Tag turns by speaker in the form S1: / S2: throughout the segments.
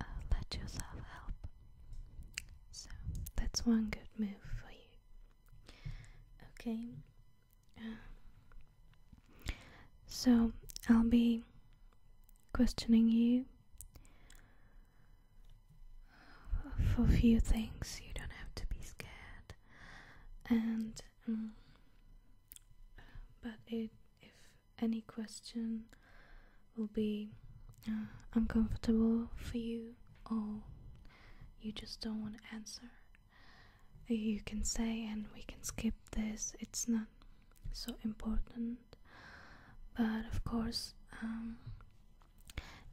S1: uh, let yourself help. So that's one good move for you. Okay. Uh, so I'll be questioning you for a few things. You don't have to be scared. And mm, but it, if any question will be uh, uncomfortable for you or you just don't want to answer, you can say, and we can skip this, it's not so important. But of course, um,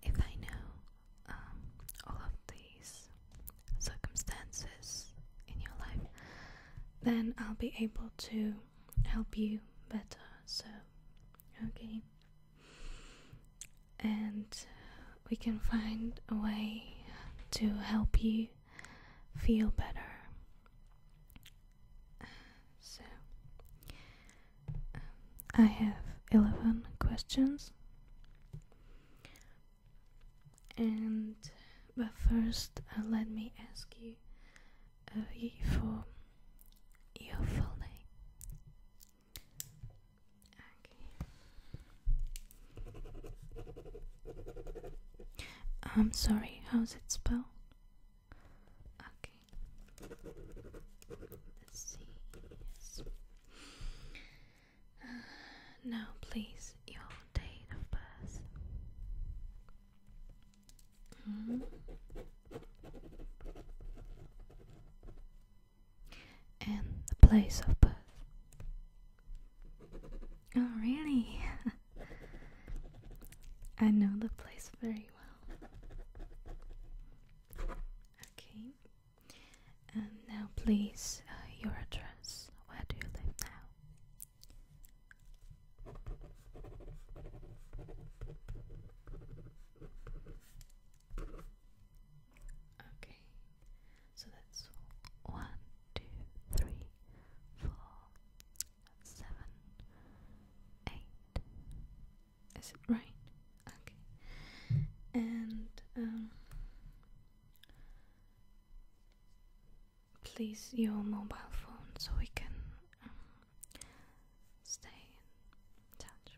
S1: if I know um, all of these circumstances in your life, then I'll be able to help you better. So, okay. And we can find a way to help you feel better. So, um, I have 11 questions, and but first uh, let me ask you uh, for your full name. Okay. I'm sorry, how's it spelled? Okay. Let's see. Uh, now, please, your date of birth. And the place of birth. Oh, really? I know the place very well. Okay. And um, now, please, uh, your address. Where do you live now? Okay, so that's one, two, three, four, seven, eight. Is it right? Okay, and um, please your mobile phone so we can um, stay in touch.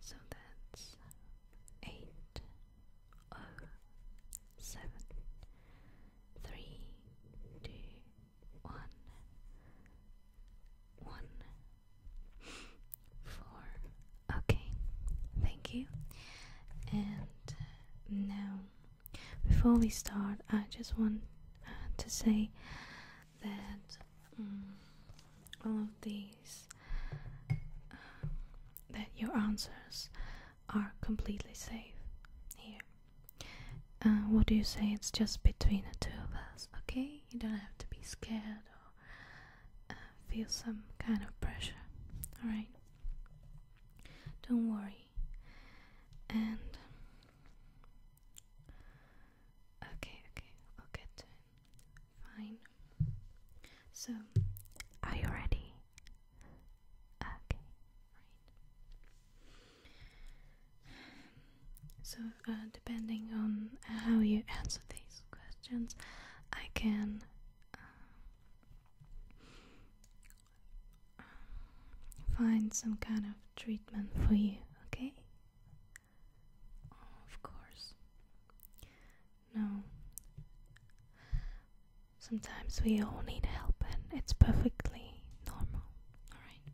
S1: So that's eight oh seven three two one one four. Okay, thank you. And now before we start, I just want uh, to say that mm, all of these, um, that your answers are completely safe here. Uh, what do you say? It's just between the two of us, okay? You don't have to be scared or uh, feel some kind of pressure, alright? Don't worry. And okay, okay, I'll get to it. Fine. So, are you ready? Okay, right. So, uh, depending on how you answer these questions, I can. Uh, find some kind of treatment for you, okay? of course. No. Sometimes we all need help, and it's perfectly normal, alright?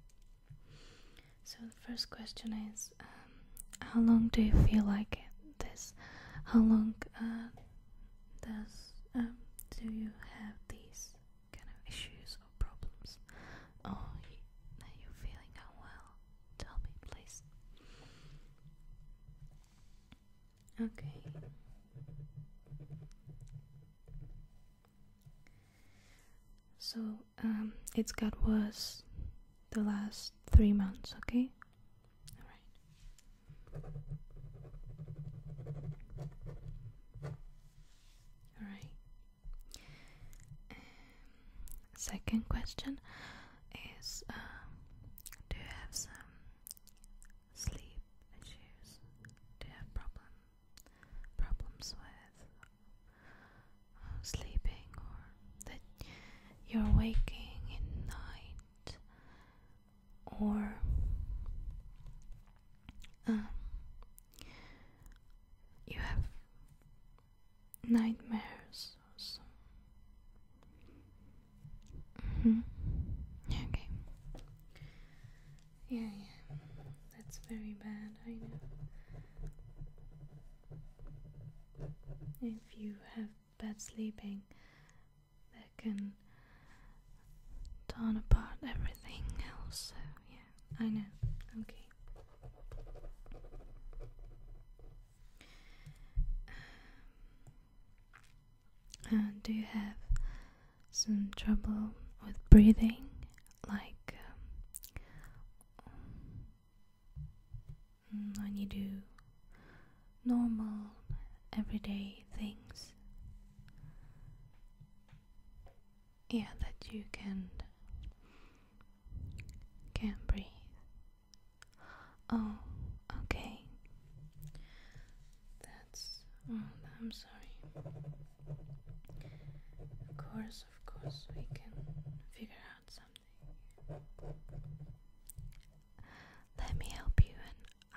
S1: So, the first question is um, How long do you feel like this? How long uh, does um, do you have these kind of issues or problems? Oh, you, are you feeling unwell? Tell me, please. Okay. So, um, it's got worse the last three months, okay? Alright. All right. Um, second question is um, Do you have some sleep issues? Do you have problem problems with uh, sleeping or that you're waking in night or um, you have nightmares mm-hmm. Okay. Yeah, yeah. That's very bad, I know. If you have bad sleeping, that can torn apart everything else. So yeah, I know. Okay. Um, uh, do you have some trouble with breathing? Like when you do normal everyday things. Yeah, that you can can breathe. Oh, okay. That's oh, I'm sorry. Of course, of course, we can figure out something. Let me help you and I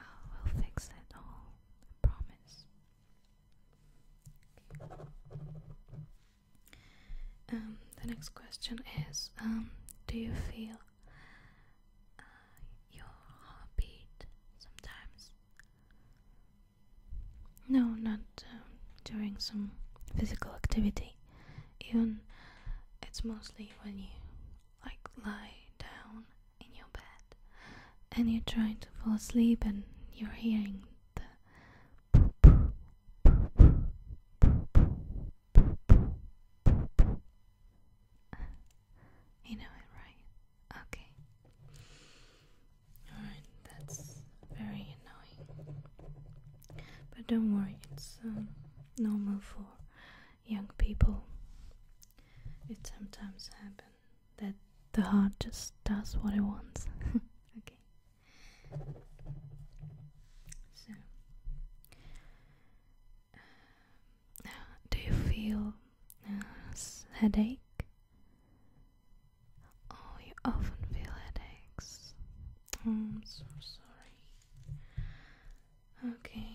S1: will fix it all, promise. Um, the next question is um, Do you feel uh, your heartbeat sometimes? No, not um, during some physical activity. Even it's mostly when you like lie down in your bed and you're trying to fall asleep and you're hearing the you know it right okay all right that's very annoying but don't worry it's um, normal for young people, it sometimes happens that the heart just does what it wants. okay. So, uh, do you feel headache? Oh, you often feel headaches. I'm so sorry. Okay.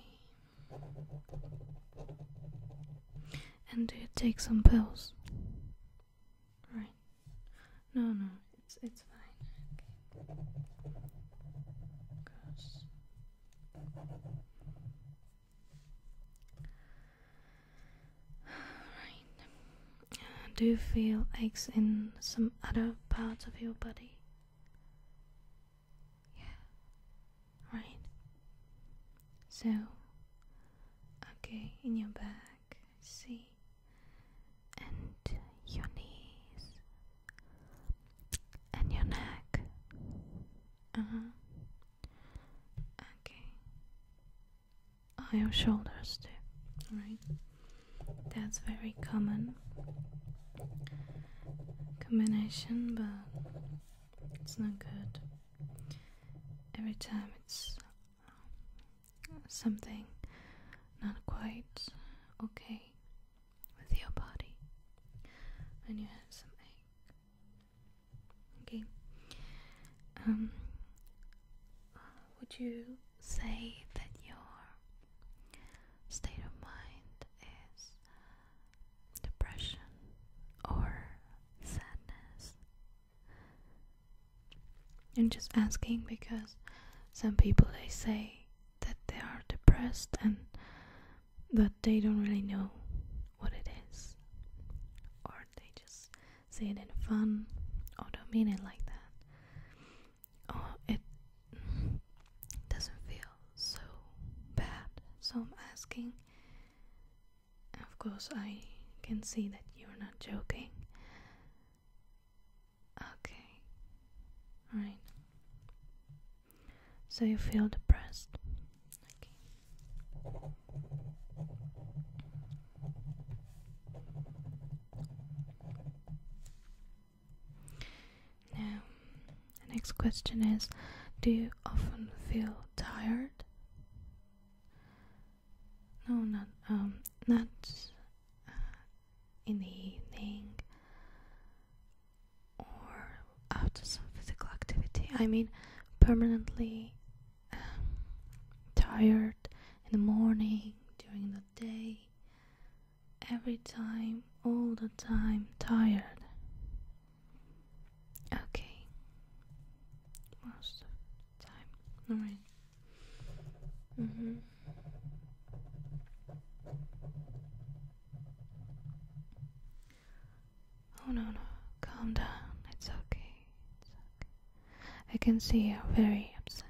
S1: And do you take some pills? Right. No, no, it's it's fine. Okay. Do you feel aches in some other parts of your body? Yeah. Right. So, okay, in your back, see, and your knees, and your neck. Uh huh. Okay. Oh, your shoulders too. Alright. That's very common combination, but it's not good. Every time it's um, something not quite okay with your body, and you have some ache. Okay. Um. Would you say that your state of mind is depression, or sadness. I'm just asking because some people they say that they are depressed and that they don't really know what it is, or they just say it in fun or don't mean it like that. Oh, it it doesn't feel so bad. So I'm asking. Of course, I can see that you're not joking. Okay. Alright. So you feel depressed. Now, um, next question is Do you often feel tired? No, not, um, not uh, in the evening or after some physical activity. I mean, permanently um, tired in the morning, during the day, every time, all the time, tired. Okay. Most time. Alright. Mm hmm Oh no no, calm down. It's okay. I can see you're very upset.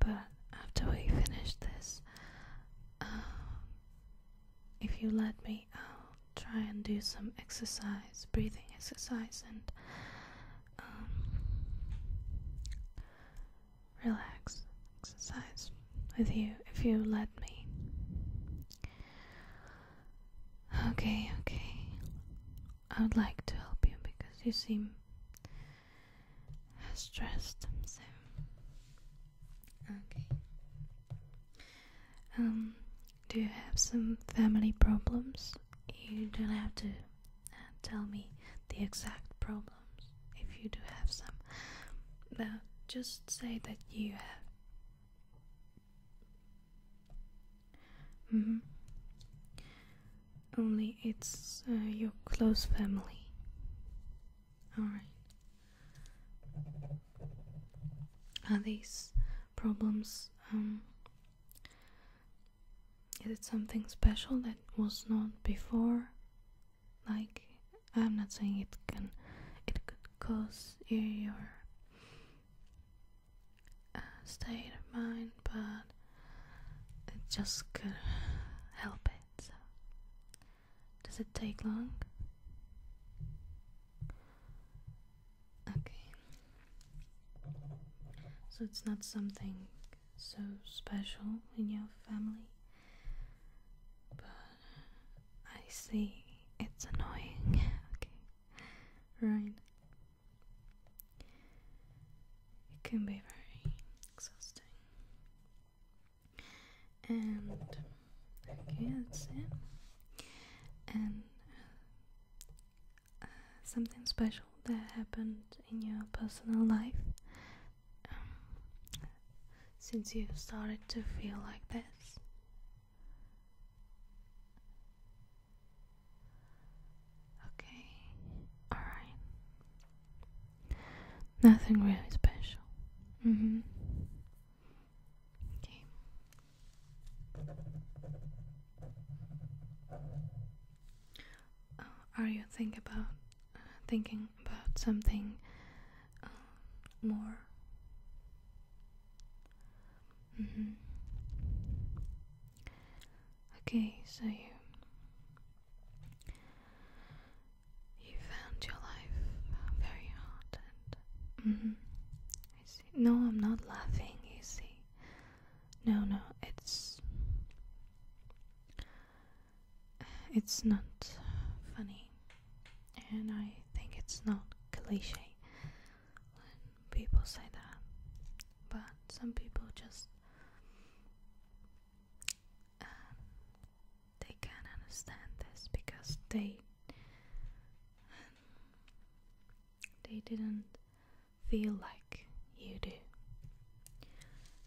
S1: But after we finish this, um, if you let me, I'll try and do some exercise, breathing exercise, and um, relax exercise with you if you let me. Okay, okay. I would like to help you because you seem stressed. So Okay. Um, do you have some family problems? You don't have to uh, tell me the exact problems if you do have some. But just say that you have. Mm -hmm. Only it's uh, your close family. All right. Are these problems? Um, is it something special that was not before? Like, I'm not saying it can, it could cause your uh, state of mind, but it just could help it. Does it take long? Okay. So it's not something so special in your family. But I see it's annoying. okay. Right. It can be very exhausting and okay that's it and uh, something special that happened in your personal life um, since you started to feel like this okay all right Nothing really special. Mm-hmm. Okay. Uh, are you think about uh, thinking about something uh, more? Mm-hmm. Okay, so you you found your life uh, very hard and mm-hmm. I see. No, I'm not laughing, you see. No, no, it's it's not funny and I think it's not cliche when people say that. But some people just um, they can understand this because they they didn't feel like you do.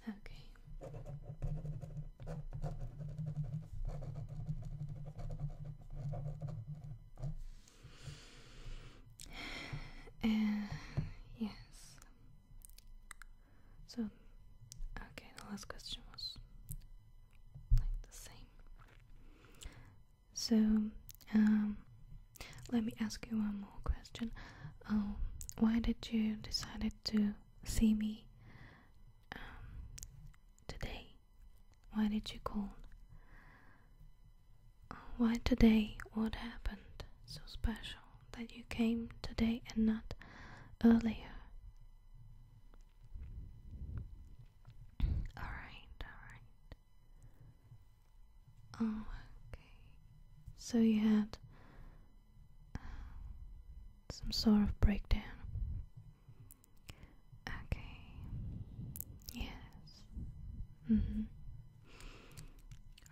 S1: Okay. Uh, yes, so, okay, the last question was like the same. So, um, let me ask you one more question. Um, why did you decided to see me um, today? Why did you call? Why today? What happened so special that you came today and not earlier? Alright, alright. Oh, okay. So you had uh, some sort of breakdown. Okay. Yes. Mm hmm.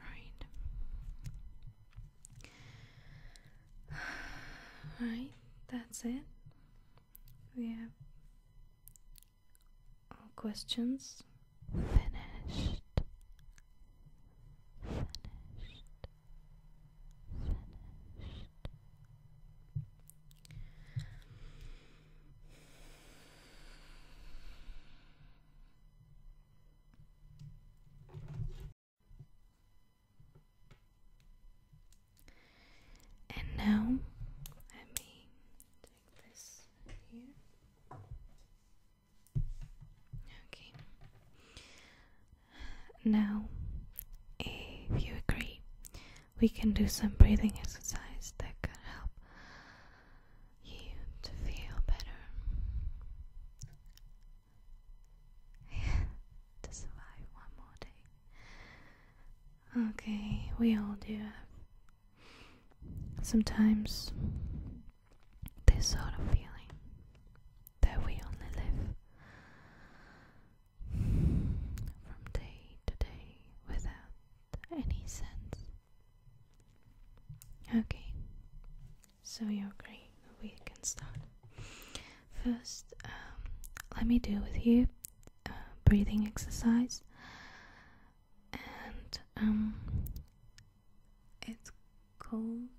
S1: Right. right, that's it. We have questions finished. Finished. Finished. And now let me take this here. Okay. Now, if you agree, we can do some breathing exercise that can help you to feel better. to survive one more day. Okay, we all do have sometimes this sort of feeling that we only live from day to day without any sense. Okay, so you agree we can start. First, um, let me do with you uh, breathing exercise, and um, it's called,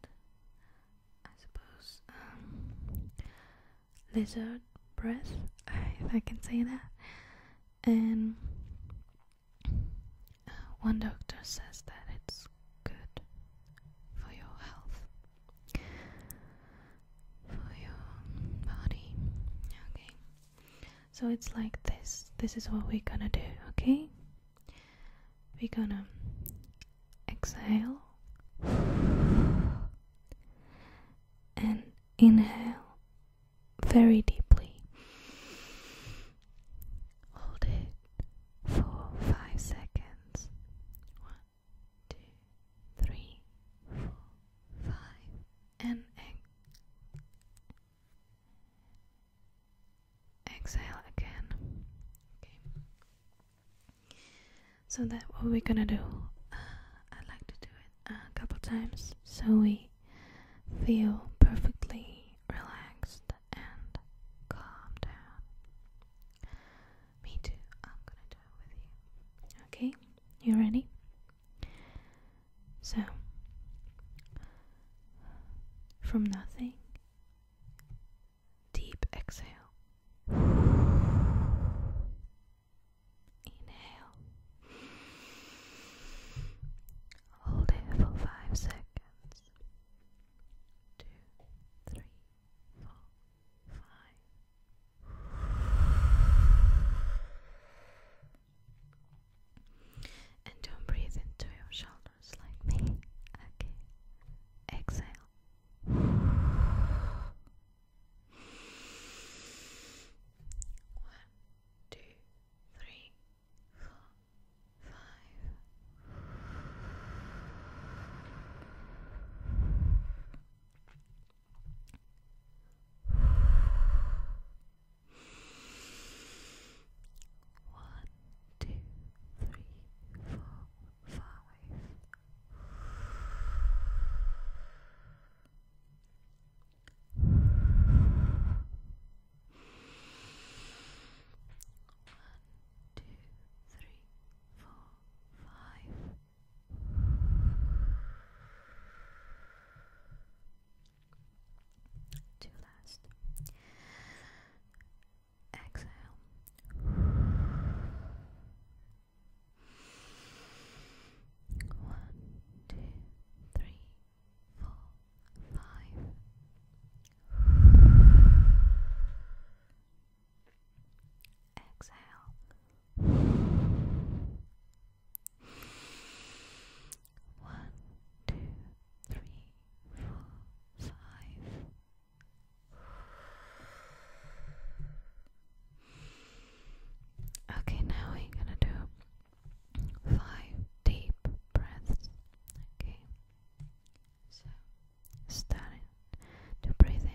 S1: I suppose, um, lizard breath, if I can say that. And uh, one doctor says that it's good for your health, for your body. Okay, so it's like this. This is what we're gonna do, okay? We're gonna exhale and inhale very deeply. Hold it for five seconds. One, two, three, four, five, and exhale again. Okay. So that what we're gonna do. Uh, I like to do it a couple times so we feel perfectly relaxed and calm down. Me too. I'm gonna do it with you. Okay, you ready? So, from nothing, deep exhale, inhale, hold it for five seconds. Two, three, four. And don't breathe into your shoulders like me. Okay. Exhale. One, two, three, four, five. One, two, three, four, five. One, two, three, four, five. Two last. Exhale. One, two, three, four, five. Exhale. One, two, three, four, five. Okay, now we're gonna do five deep breaths. Okay, so, starting to breathe in.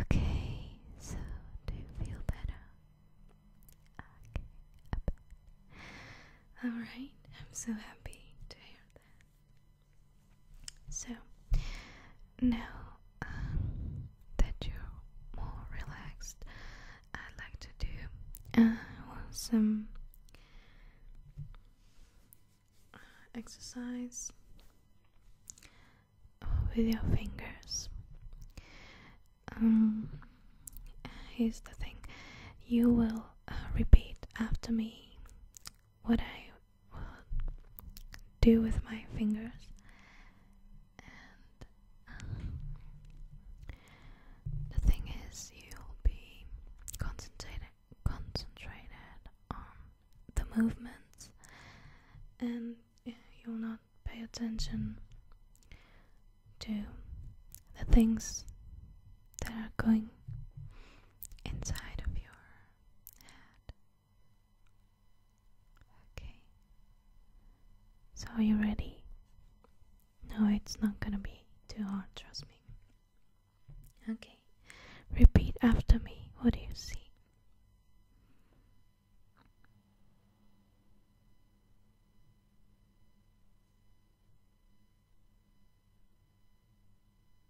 S1: Okay, so do you feel better? Okay, Alright, I'm so happy to hear that. So now um, that you're more relaxed, I'd like to do uh, some uh, exercise with your fingers. Um, here's the thing you will uh, repeat after me what I will do with my fingers. And um, the thing is, you'll be concentrated, concentrated on the movements, and you'll not pay attention to the things that are going inside of your head. Okay. So, are you ready? No, it's not gonna be too hard, trust me. Okay. Repeat after me. What do you see?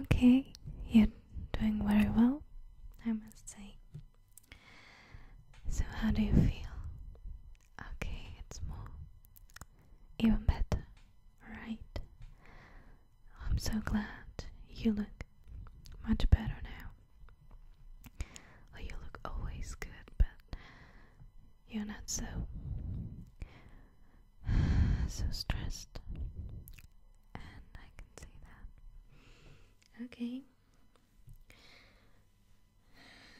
S1: Okay, you're doing very well, I must say. So, how do you feel? Okay, it's more. Even better, right? I'm so glad you look much better now. Well, you look always good, but you're not so. so stressed, and I can see that. Okay,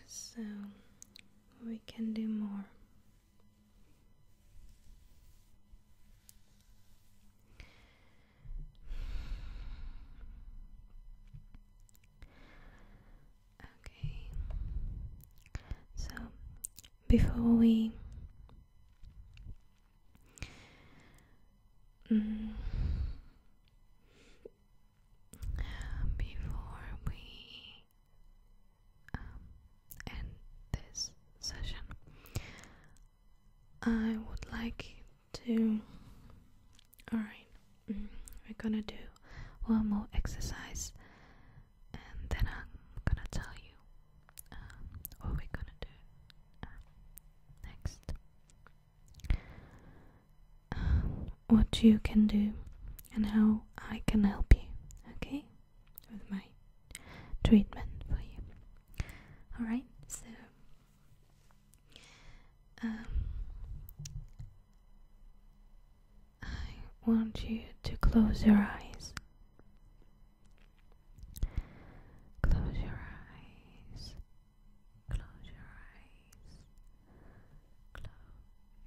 S1: so we can do more. Okay, so before we Mm. Before we um, end this session, I would like to. Alright, mm, we're gonna do one more exercise and then I'm gonna tell you um, what we're gonna do um, next. Um, what you can do and how I can help you, okay? With my treatment for you. Alright, so I want you to close your eyes Close your eyes. Close your eyes. Close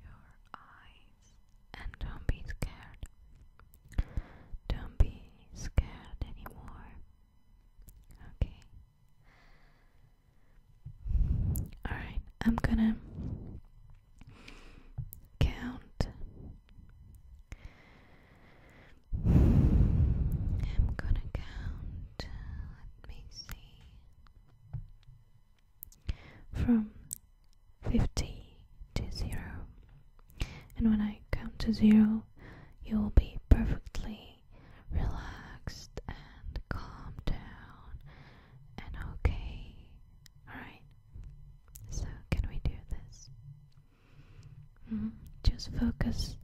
S1: your eyes. And don't be scared. Don't be scared anymore. Okay. Alright, I'm gonna count. I'm gonna count, let me see, from 50 to 0. And when I count to 0, you will be perfectly relaxed and calm down and okay. Alright? So, can we do this? Mm-hmm. Just focus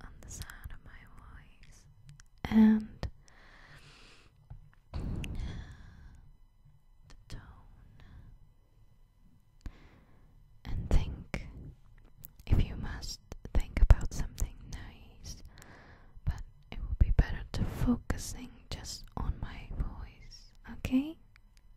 S1: on the sound of my voice and the tone, and think if you must think about something nice, but it will be better to focusing just on my voice, okay?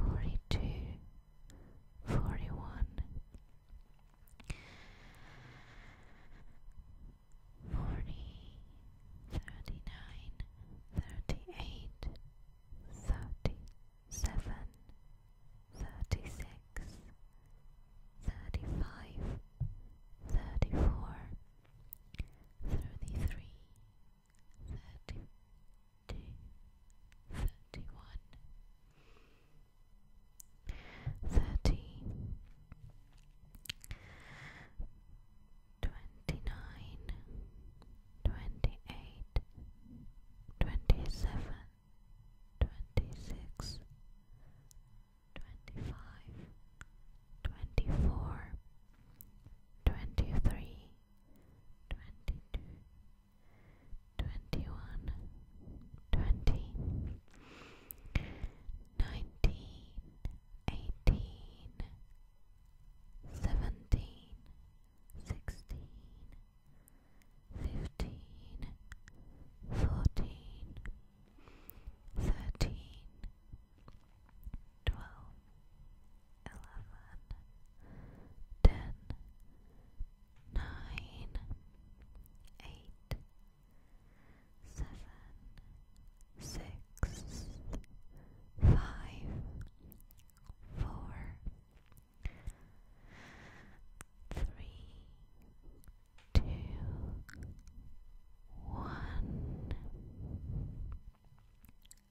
S1: forty two, forty one, forty, thirty nine, thirty eight, thirty seven, thirty six, thirty five, thirty four, thirty three. 33 thirty two, thirty one, thirty twenty nine, twenty eight, twenty seven, twenty six twenty-two, twenty-one, twenty, nineteen, eighteen, seventeen, sixteen, fifteen, fourteen, thirteen twelve, eleven, ten, nine, eight, seven, six, five, four, three, two, one.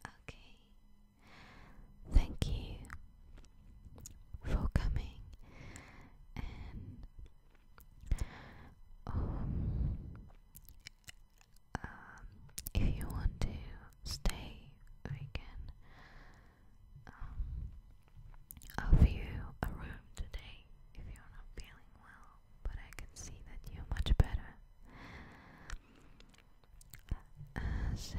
S1: Okay. Thank you for coming and um, if you want to stay we can um, offer you a room today if you're not feeling well but I can see that you're much better uh, so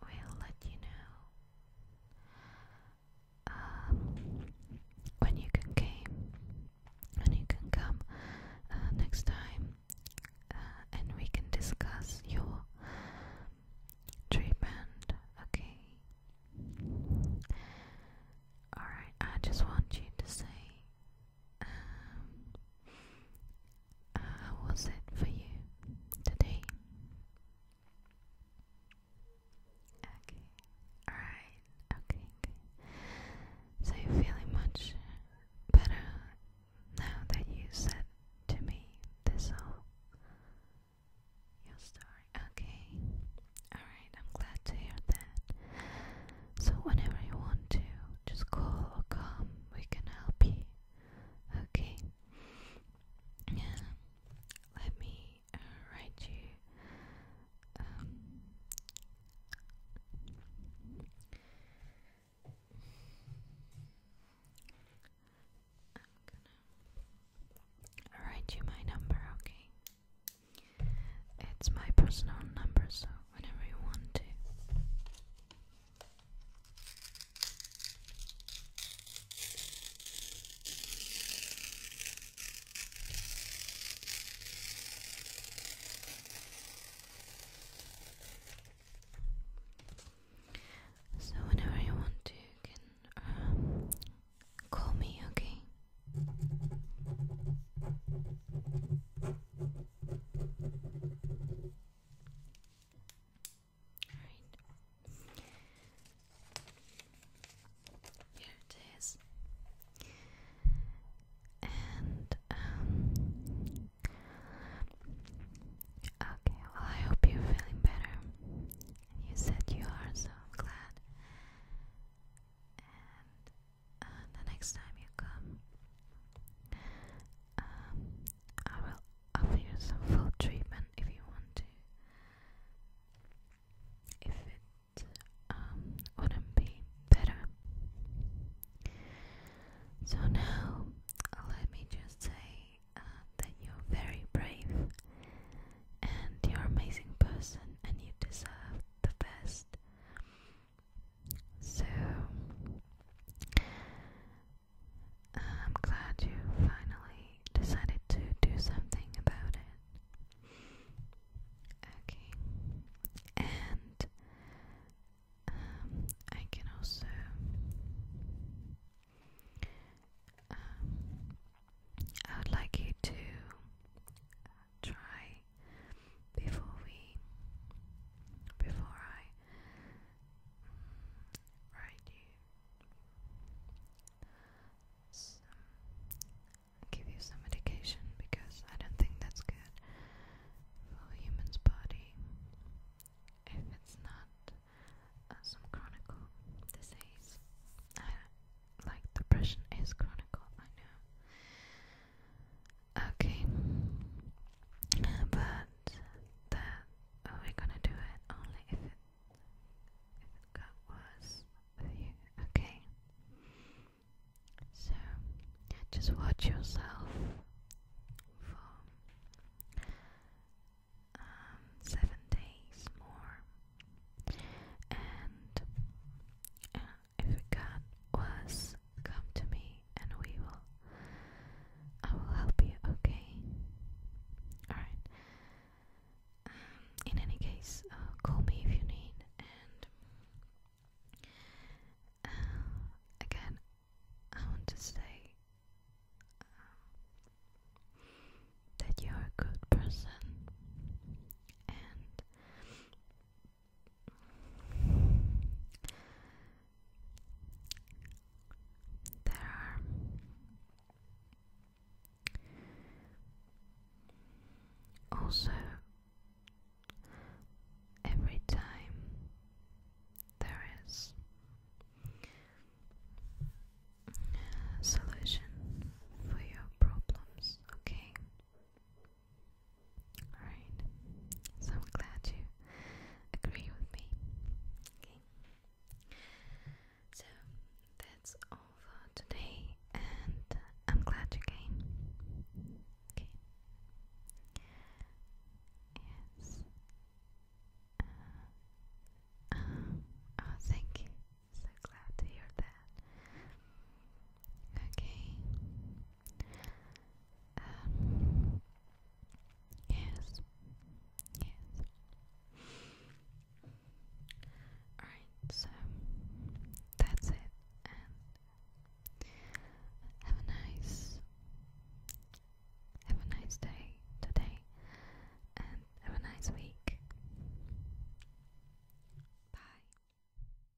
S1: we'll let you know um, when you can came, when you can come uh, next time, uh, and we can discuss your treatment. Okay. Alright, I just want you to say um, how uh, was it for you today? Okay, alright, okay, So you feeling much better now that you said to me this whole your story. Okay, alright, I'm glad to hear that. So whenever you want to, just call or come, we can help you. Okay. Yeah. Let me uh, write you um, I'm gonna write you my number, okay? It's my personal number, so whenever you want to. So, whenever you want to, you can um, call me, okay? Alright. Here it is. Um, okay, well I hope you're feeling better. you said you are so glad uh, the next time you come, um, I will offer you some full treatment if you want to. If it um, would be better. So now, let me just say uh, that you're very brave and you're an amazing person and you deserve the best. So I'm glad you finally decided to do something about it. Okay. And um, I can also um, I would like you to try before we before I mm, write you give you some medication because I don't think that's good for human's body if it's not uh, some chronic disease. like depression is chronic, I know. Okay. But that we're gonna do it only if it got worse with you. Okay. So just watch yourself for um, seven days more and uh, if you can, was come to me and we will. I will help you, okay? Alright. Um, in any case, uh, call me if you need, and uh, again, I want to say um, that you're a good person, and there are also every time there is solution for your problems, okay? Alright, so I'm glad you agree with me. Okay, so that's all for today, and I'm glad you came. Okay, yes, uh, uh, oh, thank you. So glad to hear that. Okay. Um, yes. Yes. Alright, so that's it. have a nice have a nice day today and have a nice week. Bye.